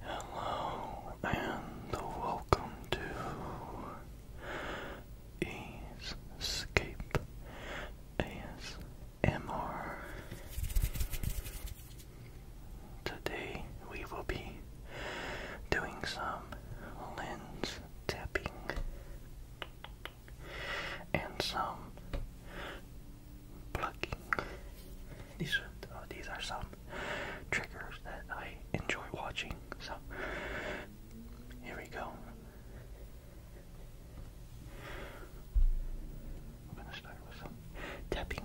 Hello and welcome to Escape ASMR. Today we will be doing some lens tapping and some plucking. These are, oh, these are some triggers that I enjoy watching. So here we go. We're gonna start with some tapping.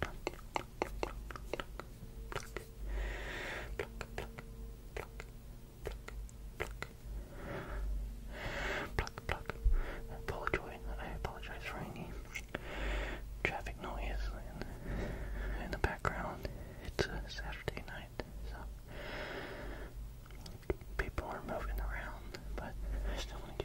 pluck, pluck. I apologize, I apologize for any traffic noise in, the background. It's a Saturday night, so people are moving around, but I still want to get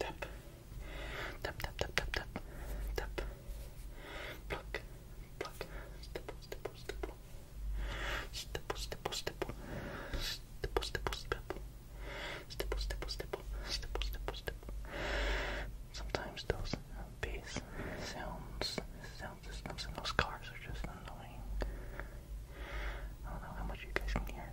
tap, tap, tap, tap, tap, tap, tap, pluck, pluck, stipple, stipple, stipple, stipple, stipple, stipple, stipple, stipple, stipple, stipple, stipple, Sometimes those bass sounds, sound systems and those cars are just annoying. I don't know how much you guys can hear.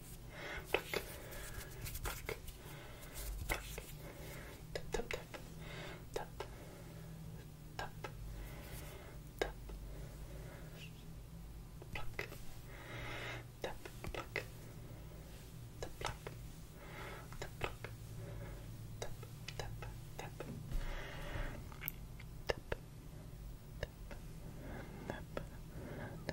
Pluck, pluck, pluck. Tap, tap, tap, tap, tap, tap. Pluck, tap, pluck, tap, pluck, tap, pluck, tap, tap, tap, tap, tap, tap.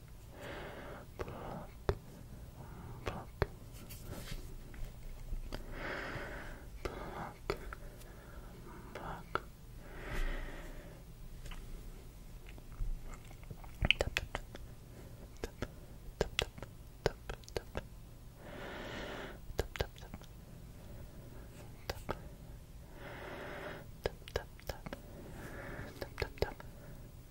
Pluck, pluck, pluck, pluck. Tap, tap, tap. Tap, tap, tap, tap, tap. Tap, tap, tap. Tap. Tap, tap, tap. Tap,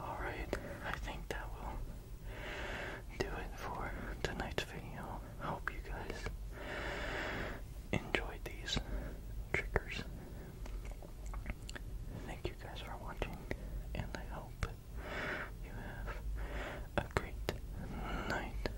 All right, I think that will do it for tonight's video. hope you guys enjoyed these triggers. Thank you guys for watching, and I hope you have a great night.